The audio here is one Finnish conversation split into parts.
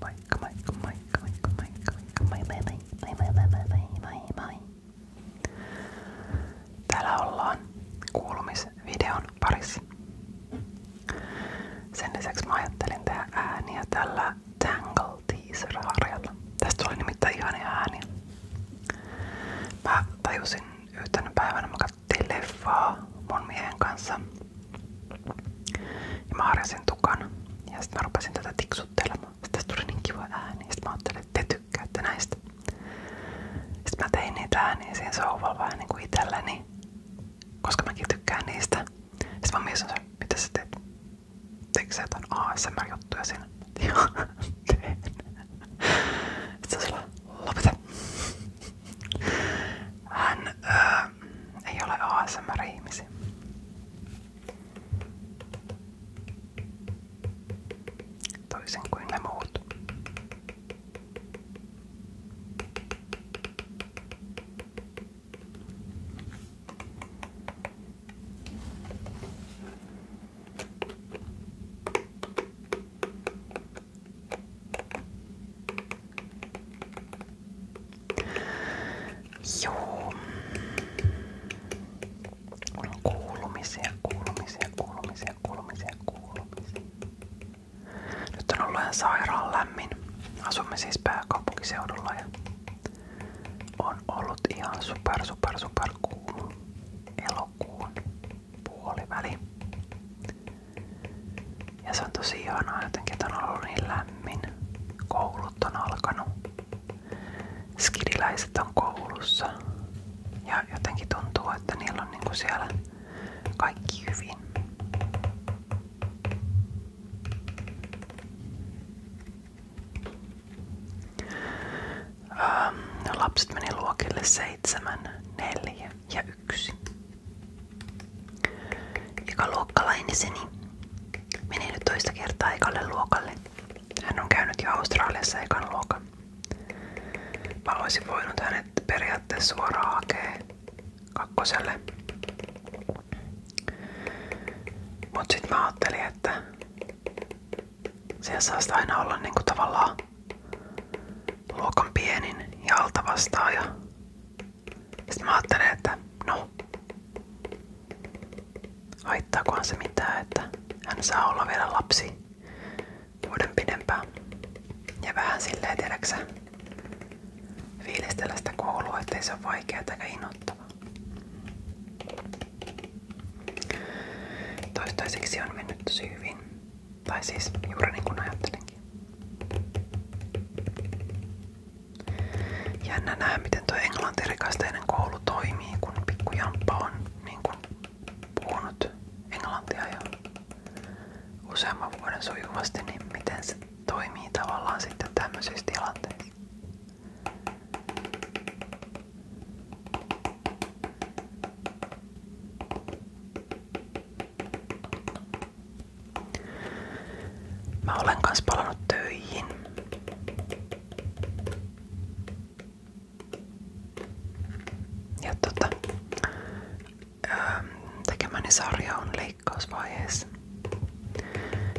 Moi, moi, kuulumisvideon parissa. Sen lisäksi mä ajattelin tehdä ääniä tällä Tangle Teaser-harjalla. tuli nimittäin ihania ääniä. Mä tajusin yhtenä päivänä, mä katsottiin leffaa mun miehen kanssa. Ja mä harjasin tukan. Ja sitten mä rupesin tätä tiksuttelemaan. Sitten tästä tuli niin kiva ääni. Sitten mä ajattelin, että te tykkäätte näistä. Sitten mä tein niitä ääniä siihen sohvalla vähän niin kuin itselleni. Koska mäkin tykkään niistä. Sitten mä mietin, mitä sä teet? Teikö sä jotain ASMR-juttuja siinä? Joo, teen. Sitten se lopeta. Hän ää, ei ole ASMR-ihmisi. Toisin kuin ne muut. Joo. Kuulumisia, kuulumisia, kuulumisia, kuulumisia, kuulumisia. Nyt on ollut ihan sairaan lämmin. Asumme siis pääkaupunkiseudulla ja on ollut ihan super, super, super kuuma elokuun puoliväli. Ja se on tosi ihanaa jotenkin, että on ollut niin lämmin. Koulut on alkanut. Skidiläiset on koulussa. Ja jotenkin tuntuu, että niillä on niinku siellä kaikki hyvin. Ähm, no lapset meni luokille seitsemän, neljä ja yksi. Eka luokkalainenseni niin meni nyt toista kertaa ekalle luokalle. Hän on käynyt jo Australiassa ekan luokan. Mä olisin voinut hänet periaatteessa suoraan hakea kakkoselle. Mut sit mä ajattelin, että siellä saa sitä aina olla niinku tavallaan luokan pienin ja alta vastaaja. Sitten mä ajattelen, että no, haittaakohan se mitään, että hän saa olla vielä lapsi vuoden pidempään. Ja vähän silleen, tiedäksä, fiilistellä sitä koulua, ettei se ole vaikeaa tai innoittavaa. Toistaiseksi on mennyt tosi hyvin. Tai siis juuri niin kuin ajattelinkin. Jännä nähdä, miten tuo englantirikasteinen koulu toimii, kun pikkujamppa on niin kuin, puhunut englantia jo useamman vuoden sujuvasti, niin miten se toimii tavallaan sitten tämmöisissä tilanteissa. Mä olen kans palannut töihin. Ja tota, öö, tekemäni sarja on leikkausvaiheessa.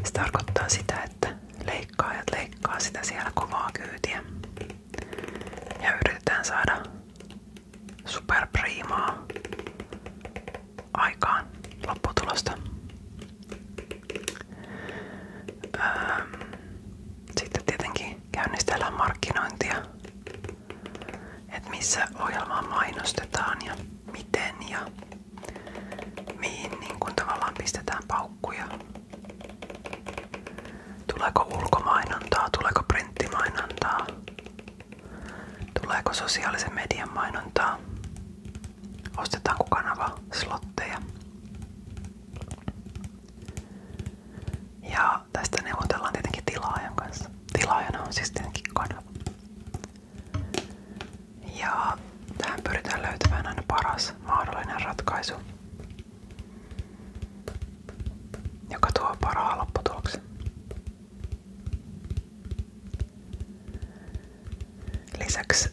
Se tarkoittaa sitä, että leikkaajat leikkaa sitä siellä kovaa kyytiä. Ja yritetään saada superpriimaa aikaan lopputulosta. Öö, sitten tietenkin käynnistellään markkinointia, että missä ohjelmaa mainostetaan ja miten ja mihin niin kun tavallaan pistetään paukkuja. Tuleeko ulkomainontaa, tuleeko printtimainontaa, Tuleeko sosiaalisen median mainontaa? Ostetaanko kanava slotteja? Ja tästä neuvotellaan tietenkin tilaajan kanssa. Tilaajana on siis tietenkin kanava. Ja tähän pyritään löytämään aina paras mahdollinen ratkaisu, joka tuo parhaan lopputuloksen. Lisäksi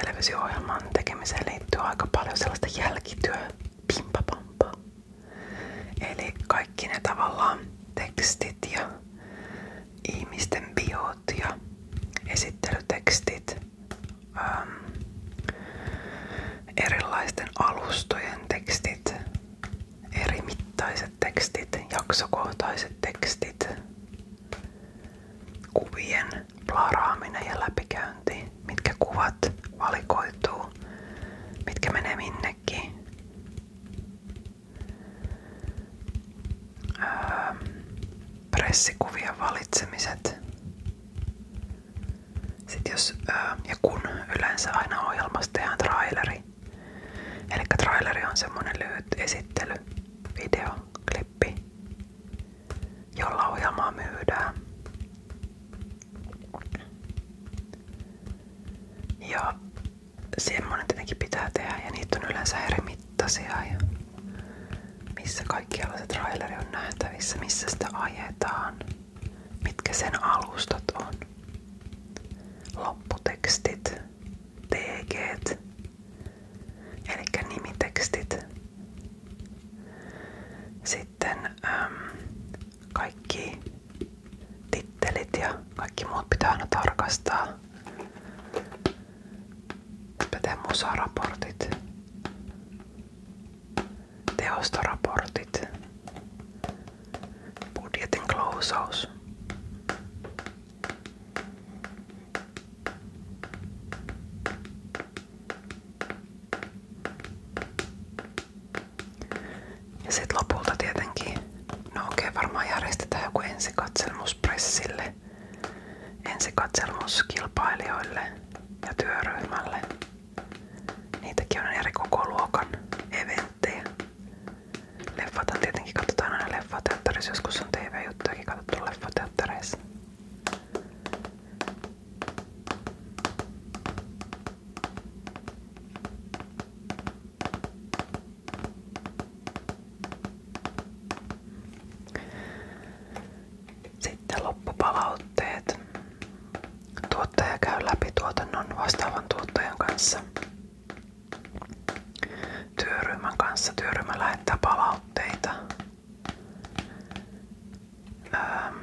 televisio-ohjelman tekemiseen liittyy aika paljon sellaista jälkityöpimpapampaa. Eli kaikki ne tavallaan tekstit ja ihmisten biot ja esittelytekstit äm, erilaisten alustojen tekstit, eri mittaiset yleiset tekstit, jaksokohtaiset tekstit, kuvien plaraaminen ja läpikäynti, mitkä kuvat valikoituu, mitkä menee minnekin. Öö, pressikuvien valitsemiset. Sitten jos, öö, ja kun yleensä aina ohjelmassa tehdään traileri, Eli traileri on semmonen lyhyt esittely, video, klippi, jolla ohjelmaa myydään. Ja semmonen tietenkin pitää tehdä ja niitä on yleensä eri mittaisia ja missä kaikkialla se traileri on nähtävissä, missä sitä ajetaan, mitkä sen alustat on lopputekstit, tg eli nimitekstit. Sitten äm, kaikki tittelit ja kaikki muut pitää aina tarkastaa. Pätee musaraportit, teostoraportit, Budjetin klousaus. Ja sit tietenkin, no okei järjestetään joku ensikatselmus pressille, ja työryhmälle. Niitäkin on eri koko luokan eventtejä lähtee. Leffat tietenkin katsotaan aina leffateatterissa, joskus on TV-juttujakin katsottu leffateattereissa. Sitten loppupalautteet. Tuottaja käy läpi tuotannon vastaavan tuottajan kanssa työryhmän kanssa. Työryhmä lähettää palautteita. Ähm.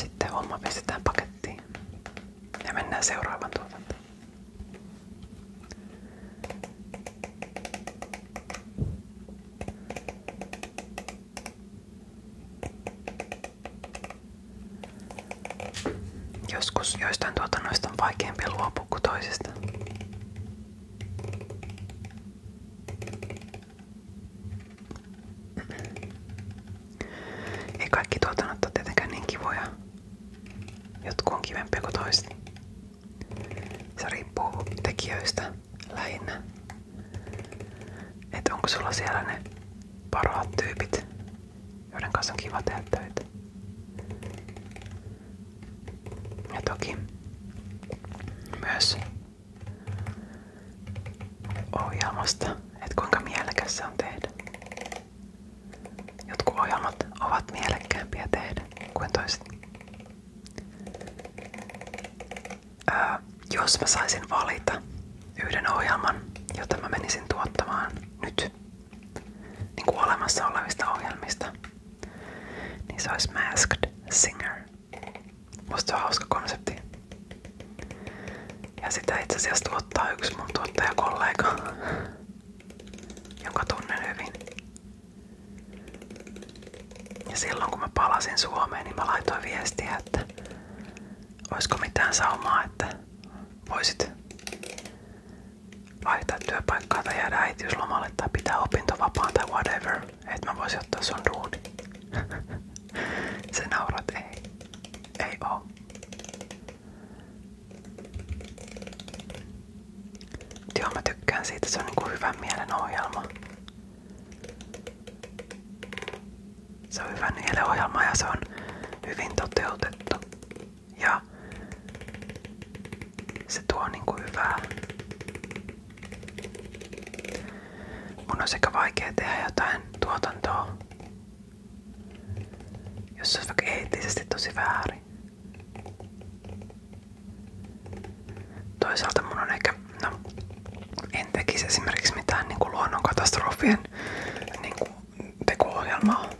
Sitten homma pistetään pakettiin ja mennään seuraavan tuotantoon. Joskus joistain tuotannoista on vaikeampi luopua kuin toisista. Ei kaikki tuotannot ole tietenkään niin kivoja. Jotkut on kivempiä kuin toiset. Se riippuu tekijöistä lähinnä. Että onko sulla siellä ne parhaat tyypit, joiden kanssa on kiva tehdä töitä. Ja toki myös ohjelmasta, että kuinka mielekäs se on tehdä. Jotkut ohjelmat ovat mielekkäämpiä tehdä kuin toiset jos mä saisin valita yhden ohjelman, jota mä menisin tuottamaan nyt niin kuin olemassa olevista ohjelmista, niin se olisi Masked Singer. Musta se on hauska konsepti. Ja sitä itse asiassa tuottaa yksi mun tuottajakollega, jonka tunnen hyvin. Ja silloin kun mä palasin Suomeen, niin mä laitoin viestiä, että olisiko mitään saumaa, että voisit vaihtaa työpaikkaa tai jäädä äitiyslomalle tai pitää opintovapaan tai whatever, että mä voisin ottaa sun duuni. Se naurat, ei. Ei oo. Joo, mä tykkään siitä, se on niinku hyvän mielen ohjelma. Se on hyvä nieleohjelma ja se on hyvin toteutettu. Ja se tuo niinku hyvää. Mun on sekä vaikea tehdä jotain tuotantoa, jos se on vaikka eettisesti tosi väärin. Toisaalta mun on ehkä, no, en tekisi esimerkiksi mitään niin kuin luonnonkatastrofien niin kuin teko-ohjelmaa.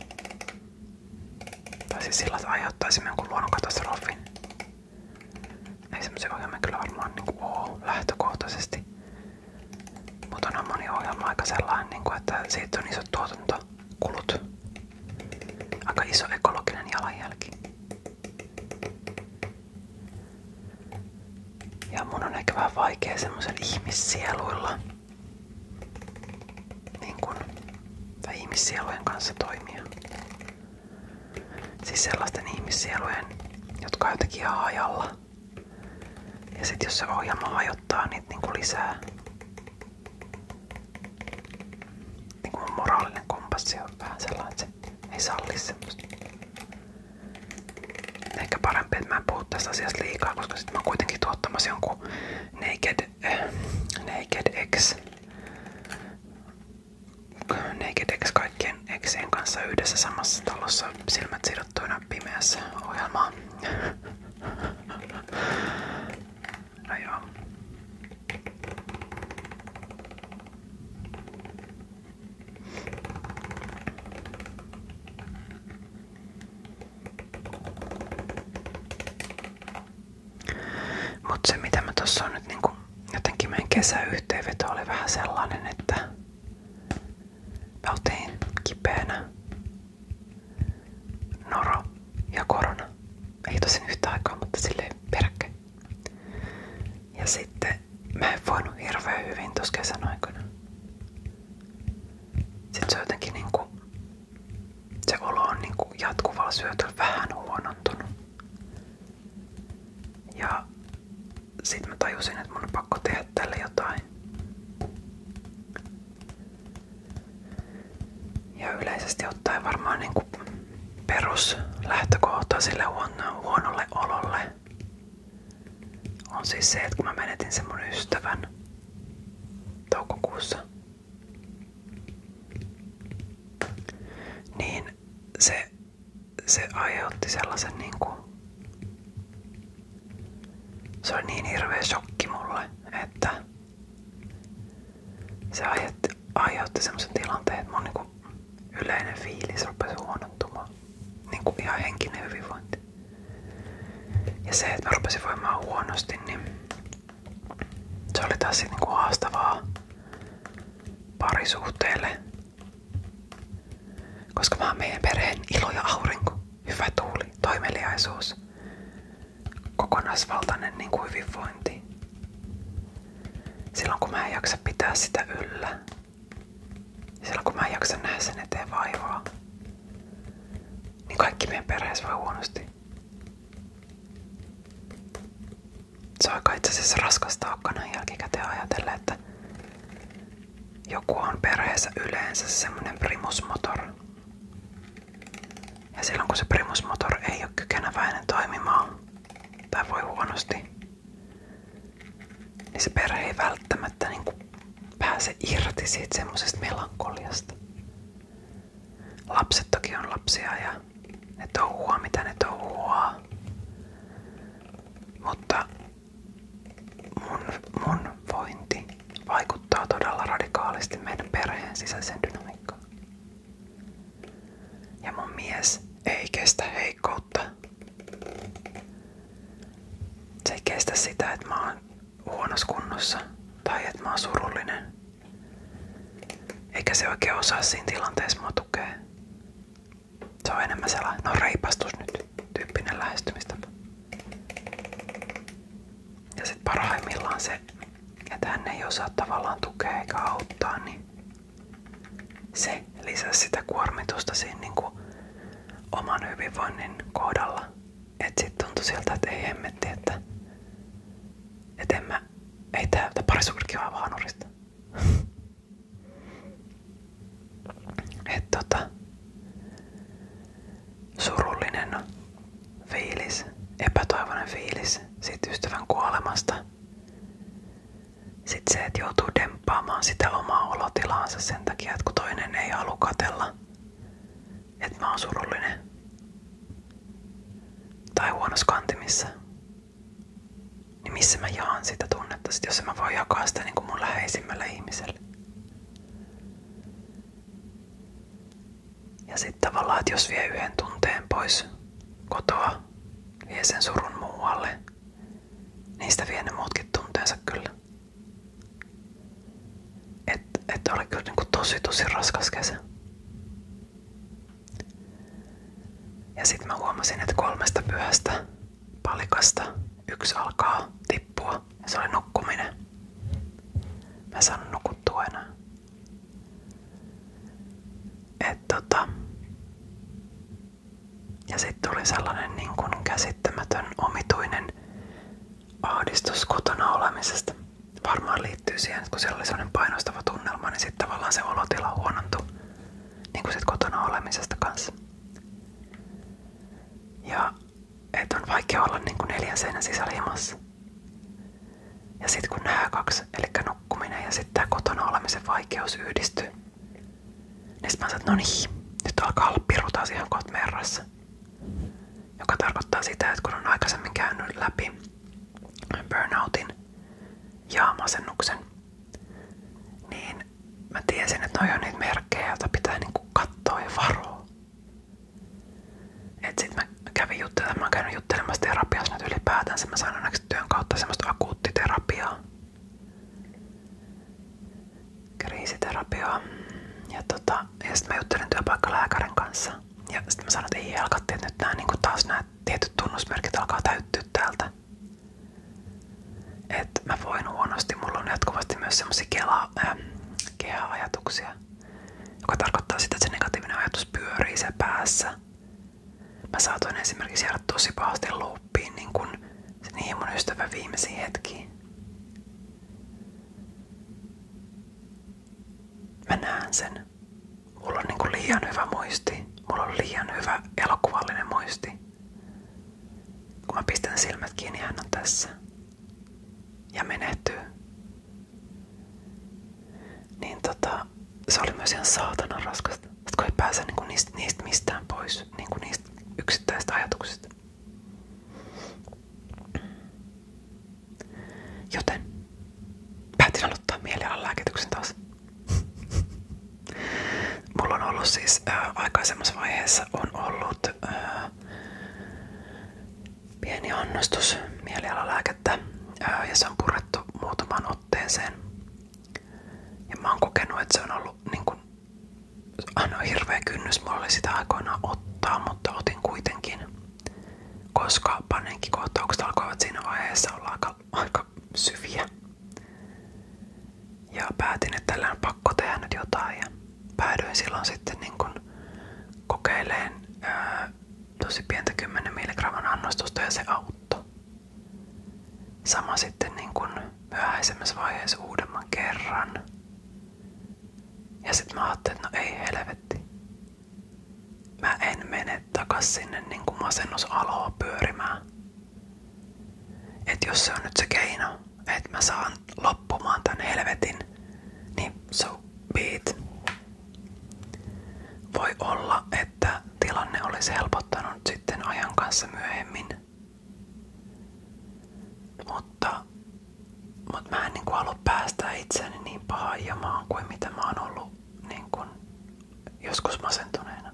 Tai siis sillä, että aiheuttaisimme jonkun luonnonkatastrofin. Ei semmoisia ohjelmia kyllä varmaan niin kuin ole lähtökohtaisesti. Mutta on moni ohjelma aika sellainen, niin kuin, että siitä on isot tuotantokulut. Aika iso ekologinen jalanjälki. Ja mun on ehkä vähän vaikea semmoisen ihmissieluilla niin kun, tai ihmissielujen kanssa toimia. Siis sellaisten ihmissielujen, jotka on jotenkin ihan ajalla. Ja sit jos se ohjelma hajottaa niitä niinku lisää. niin kuin moraalinen kompassi on vähän sellainen, että se ei salli semmoista. Ehkä parempi, että mä en puhu tästä asiasta liikaa, koska sitten mä oon kuitenkin tuottamassa jonkun Naked, äh, naked X Naked X kaikkien Xien kanssa yhdessä samassa talossa silmät sidottuina pimeässä ohjelmaa. No joo. Mutta mitä mä tossa on niinku, jotenkin meidän kesäyhteenveto oli vähän sellainen, että mä otin kipeänä noro ja korona. Ei tosin yhtä aikaa, mutta silleen peräkkäin. Ja sitten mä en voinut hirveän hyvin tuossa kesän aikana. Sitten se jotenkin niinku, se olo on niin kuin jatkuvalla syötöllä vähän huonontunut. Ja sitten mä tajusin, että mun on pakko tehdä tälle jotain. Ja yleisesti ottaen varmaan niin kuin peruslähtökohta sille huono, huonolle ololle on siis se, että kun mä menetin sen mun ystävän toukokuussa, niin se, se aiheutti sellaisen niinku se oli niin hirveä shokki mulle, että se aiheutti, aiheutti semmoisen tilanteen, että mun niinku yleinen fiilis rupesi huonontumaan. Niin kuin ihan henkinen hyvinvointi. Ja se, että mä rupesin voimaan huonosti, niin se oli taas niin kuin haastavaa parisuhteelle. Koska mä oon meidän perheen ilo ja aurinko, hyvä tuuli, toimeliaisuus, kokonaisvaltainen niin kuin hyvinvointi silloin kun mä en jaksa pitää sitä yllä. Silloin kun mä en jaksa nähdä sen eteen vaivaa. Niin kaikki meidän perheessä voi huonosti. Se on aika itse asiassa raskas taakka näin jälkikäteen ajatella, että joku on perheessä yleensä semmonen primusmotor. Ja silloin kun se primusmotor ei ole kykeneväinen toimimaan, tai voi huonosti, niin se perhe ei välttämättä niin kuin pääse irti siitä semmoisesta melankoliasta. Lapset toki on lapsia ja ne touhua mitä ne touhuaa. Mutta mun, mun vointi vaikuttaa todella radikaalisti meidän perheen sisäisen dynamiikkaan. Ja mun mies ei kestä heikkoutta. Se ei kestä sitä, että mä oon huonossa kunnossa tai että mä oon surullinen. Eikä se oikein osaa siinä tilanteessa mua tukea. Se on enemmän sellainen, no reipastus nyt, tyyppinen lähestymistä. Ja sit parhaimmillaan se, että hän ei osaa tavallaan tukea eikä auttaa, niin se lisäsi sitä kuormitusta siinä niin kuin oman hyvinvoinnin kohdalla. Että sitten tuntui siltä, että ei hemmetti, että, että en mä, ei tää, tää parisuurikin vaan nurista. että tota, surullinen fiilis, epätoivoinen fiilis siitä ystävän kuolemasta sitten se, että joutuu demppaamaan sitä omaa olotilaansa sen takia, että kun toinen ei halua katella, että mä oon surullinen tai huonossa kantimissa, niin missä mä jaan sitä tunnetta, sit jos en mä voi jakaa sitä niin kuin mun läheisimmälle ihmiselle. Ja sitten tavallaan, että jos vie yhden tunteen pois kotoa vie sen surun muualle, niistä vie ne muutkin tunteensa kyllä. Että et oli kyllä niinku tosi tosi raskas kesä. Ja sitten mä huomasin, että kolmesta pyhästä palikasta yksi alkaa tippua ja se oli nukkuminen. Mä en saanut nukuttua enää. Et tota, ja sitten tuli sellainen niin kuin käsittämätön omituinen ahdistus kotona olemisesta. Varmaan liittyy siihen, että kun siellä oli sellainen painostava tunnelma, niin sitten tavallaan se olotila huonontui niin kuin sit kotona olemisesta kanssa. Ja et on vaikea olla niin kuin neljän seinän sisällä himassa. Ja sitten kun nämä kaksi, eli nukkuminen ja sitten tämä kotona olemisen vaikeus yhdistyy, niin sitten mä sanoin, että no niin, nyt alkaa olla piru taas ihan kohta merrassa. Joka tarkoittaa sitä, että kun on aikaisemmin käynyt läpi burnoutin ja masennuksen, niin mä tiesin, että noin on niitä merkkejä, joita pitää niinku katsoa ja varoa. Et sitten mä kävin juttelemaan, mä oon käynyt juttelemassa terapiassa nyt ylipäätänsä, mä sain lisäksi kautta semmoista akuuttiterapiaa, kriisiterapiaa. Ja, tota, ja sitten mä juttelin työpaikkalääkärin kanssa. Ja sitten mä sanoin, että ei helkatti, että nyt nämä, niin taas nämä tietyt tunnusmerkit alkaa täyttyä täältä. Että mä voin huonosti, mulla on jatkuvasti myös semmoisia ähm, keha-ajatuksia, joka tarkoittaa sitä, että se negatiivinen ajatus pyörii se päässä. Mä saatoin esimerkiksi jäädä tosi pahasti luuppiin niin kuin niihin mun ystävä viimeisiin hetkiin. Mä näen sen. Mulla on niin kuin liian hyvä muisti. Mulla on liian hyvä elokuvallinen muisti. Kun mä pistän silmät kiinni, hän on tässä. Ja menehtyy. Niin tota, se oli myös ihan saatanan raskasta. että kun ei pääse niinku niistä, niistä mistään pois, niinku niistä yksittäistä ajatuksista. Joten päätin aloittaa mielialan lääkityksen taas. Mulla on ollut siis ää, äh, aikaisemmassa vaiheessa on ollut ää, äh, pieni annostus mielialalääkettä ja se on purettu muutamaan otteeseen. Ja mä oon kokenut, että se on ollut niin kuin, aina hirveä kynnys mulla sitä aikoinaan ottaa, mutta otin kuitenkin, koska panenkikohtaukset alkoivat siinä vaiheessa olla aika, aika syviä. Ja päätin, että tällä on pakko tehdä nyt jotain ja päädyin silloin sitten niin kuin kokeileen tosi pientä 10 milligramman annostusta ja se auttoi. Sama sitten niin kuin myöhäisemmässä vaiheessa uudemman kerran. Ja sitten mä ajattelin, että no ei helvetti. Mä en mene takas sinne niin kuin masennusaloa pyörimään. Et jos se on nyt se keino, että mä saan loppumaan tämän helvetin, niin so be voi olla, että tilanne olisi helpottanut sitten ajan kanssa myöhemmin. Mutta, mutta mä en niin halua päästä itseäni niin pahaan jamaan kuin mitä mä oon ollut niin kuin, joskus masentuneena.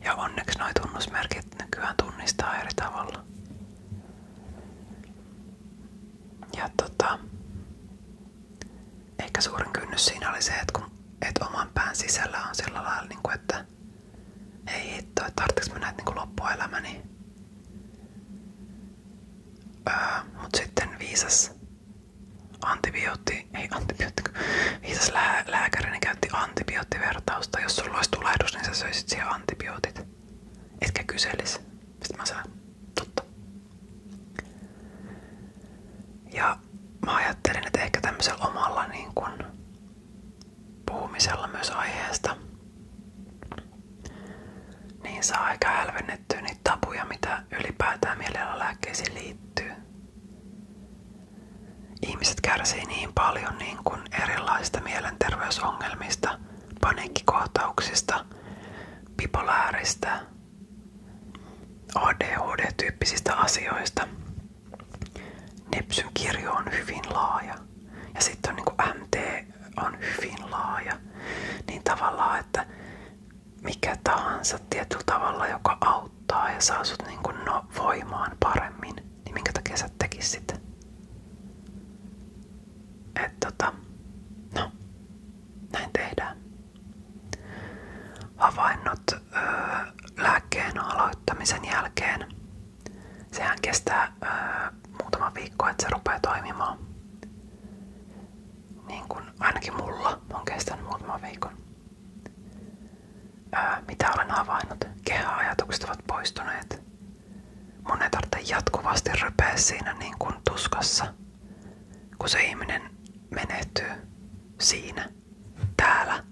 Ja onneksi noi tunnusmerkit nykyään tunnistaa eri tavalla. Ja tota, Ehkä suurin kynnys siinä oli se, että, kun, että oman pään sisällä on sillä lailla, niin kuin, että ei hitto, että tarvitsenko mä näitä niin loppuelämäni. Öö, Mutta sitten viisas antibiootti, ei antibiootti, viisas lää, lääkäri niin käytti antibioottivertausta. Jos sulla olisi tulehdus, niin sä söisit siihen antibiootit. Etkä kyselis. Sitten mä sanoin, totta. Ja mä ajattelin, että omalla niin kun, puhumisella myös aiheesta niin saa aika tapuja, mitä ylipäätään mielialalääkkeisiin liittyy. Ihmiset kärsii niin paljon niin kuin erilaisista mielenterveysongelmista, paniikkikohtauksista, bipolaarista, ADHD-tyyppisistä asioista. Nepsyn kirjo on hyvin laaja. Ja sitten on niin MT on hyvin laaja. Niin tavallaan, että mikä tahansa tietyllä tavalla, joka auttaa ja saa sut niin kuin no, voimaan paremmin, niin minkä takia sä tekisit sitä? Että tota, no, Havainnot öö, aloittamisen jälkeen. Sehän kestää muutama viikko, että se rupeaa toimimaan. Niin kuin ainakin mulla on kestänyt viikon. Öö, mitä olen havainnut? Kehäajatukset ovat poistuneet. Mun jatkuvasti rypeä siinä niin kuin tuskassa kun se ihminen menehtyy siinä, täällä.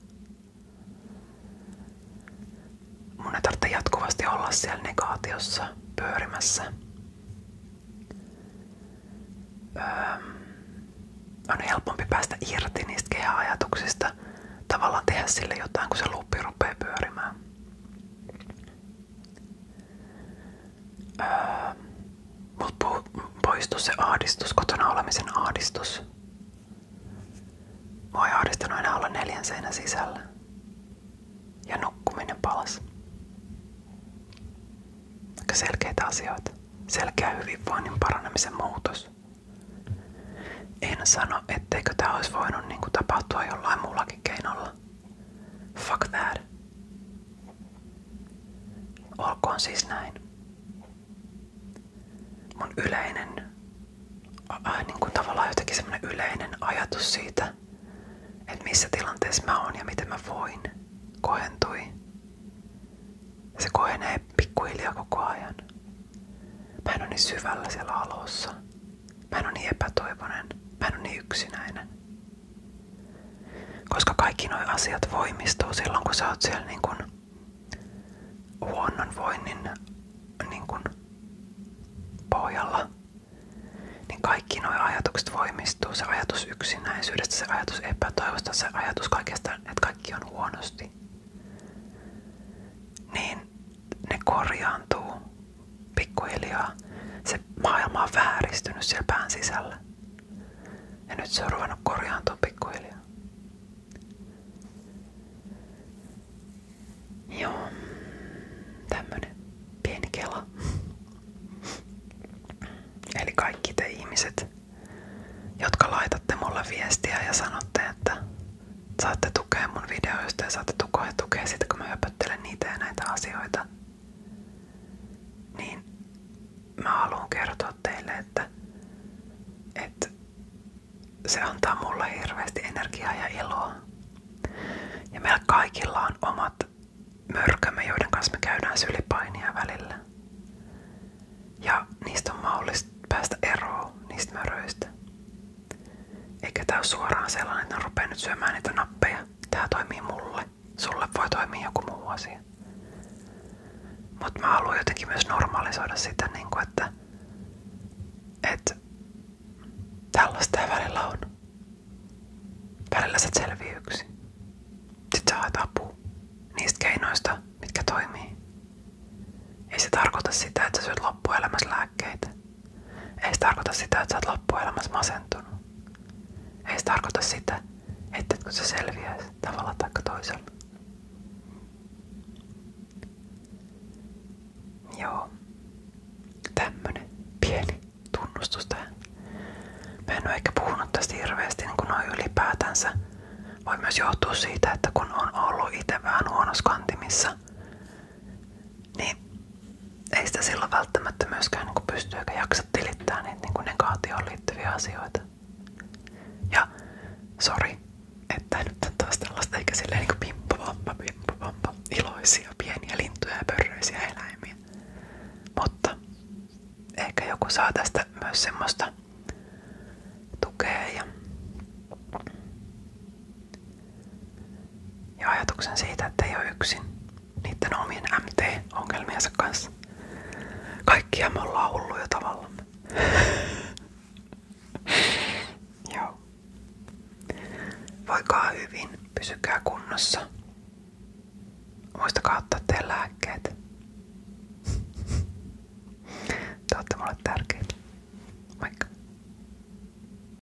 Mun ei tarvitse jatkuvasti olla siellä negaatiossa pyörimässä. Öö, on helpompi päästä irti niistä kehäajatuksista, tavallaan tehdä sille jotain, kun se luppi rupeaa pyörimään. Öö, Mutta poistu kotona olemisen ahdistus. Mua ei ahdistanut enää olla neljän sisällä. Ja nukkuminen palas. Aika selkeitä asioita. Selkeä hyvinvoinnin paranemisen muutos. En sano, etteikö tämä olisi voinut niin kuin, tapahtua jollain muullakin keinolla. Fuck that. Olkoon siis näin. Mun yleinen, äh, niin kuin tavallaan jotenkin semmoinen yleinen ajatus siitä, että missä tilanteessa mä oon ja miten mä voin, kohentui. Se kohenee pikkuhiljaa koko ajan. Mä en ole niin syvällä siellä alussa. Mä en ole niin epätoivoinen. Mä en ole niin yksinäinen. Koska kaikki nuo asiat voimistuu silloin, kun sä oot siellä niin kun huonnonvoinnin niin kun pohjalla, niin kaikki nuo ajatukset voimistuu. Se ajatus yksinäisyydestä, se ajatus epätoivosta, se ajatus kaikesta, että kaikki on huonosti. Niin ne korjaantuu pikkuhiljaa se maailma on vääristynyt siellä pään sisällä. Ja nyt se on ruvennut korjaantua pikkuhiljaa. Joo, tämmönen pieni kela. Eli kaikki te ihmiset, jotka laitatte mulle viestiä ja sanotte, että saatte tukea mun videoista ja saatte tukea, tukea sitä, kun mä höpöttelen niitä ja näitä asioita niin mä haluan kertoa teille, että, että se antaa mulle hirveästi energiaa ja iloa. Ja meillä kaikilla on omat mörkömme, joiden kanssa me käydään sylipainia välillä. Ja niistä on mahdollista päästä eroon, niistä möröistä. Eikä tää ole suoraan sellainen, että ne rupeaa nyt syömään niitä nappeja. Tää toimii mulle. Sulle voi toimia joku muu asia. Mutta mä haluan jotenkin myös normalisoida sitä, niin kuin, että, että tällaista välillä on. Välillä sä selvii yksin. Sitten sä haet apua niistä keinoista, mitkä toimii. Ei se tarkoita sitä, että sä syöt loppuelämässä lääkkeitä. Ei se tarkoita sitä, että sä oot loppuelämässä masentunut. Ei se tarkoita sitä, että kun se selviäisi tavalla tai toisella. Joo. Tämmönen pieni tunnustus tähän. Mä en ole ehkä puhunut tästä hirveästi niin noin ylipäätänsä. Voi myös johtua siitä, että kun on ollut itse vähän huonossa kantimissa, niin ei sitä silloin välttämättä myöskään niin pysty eikä jaksa tilittää niitä niin negaatioon liittyviä asioita. Ja sori, että nyt on taas tällaista eikä silleen niinku pimppu pimpavampa, iloisia, pieniä lintuja ja pörröisiä eläimiä. Mutta ehkä joku saa tästä myös semmoista tukea ja ja ajatuksen siitä, että ei ole yksin niiden omien MT-ongelmiensa kanssa. Kaikkia me ollaan hulluja tavallamme. Joo. Voikaa hyvin, pysykää kunnossa. Muistakaa ottaa teidän lääkkeet. Te olette mulle tärkeitä. Moikka.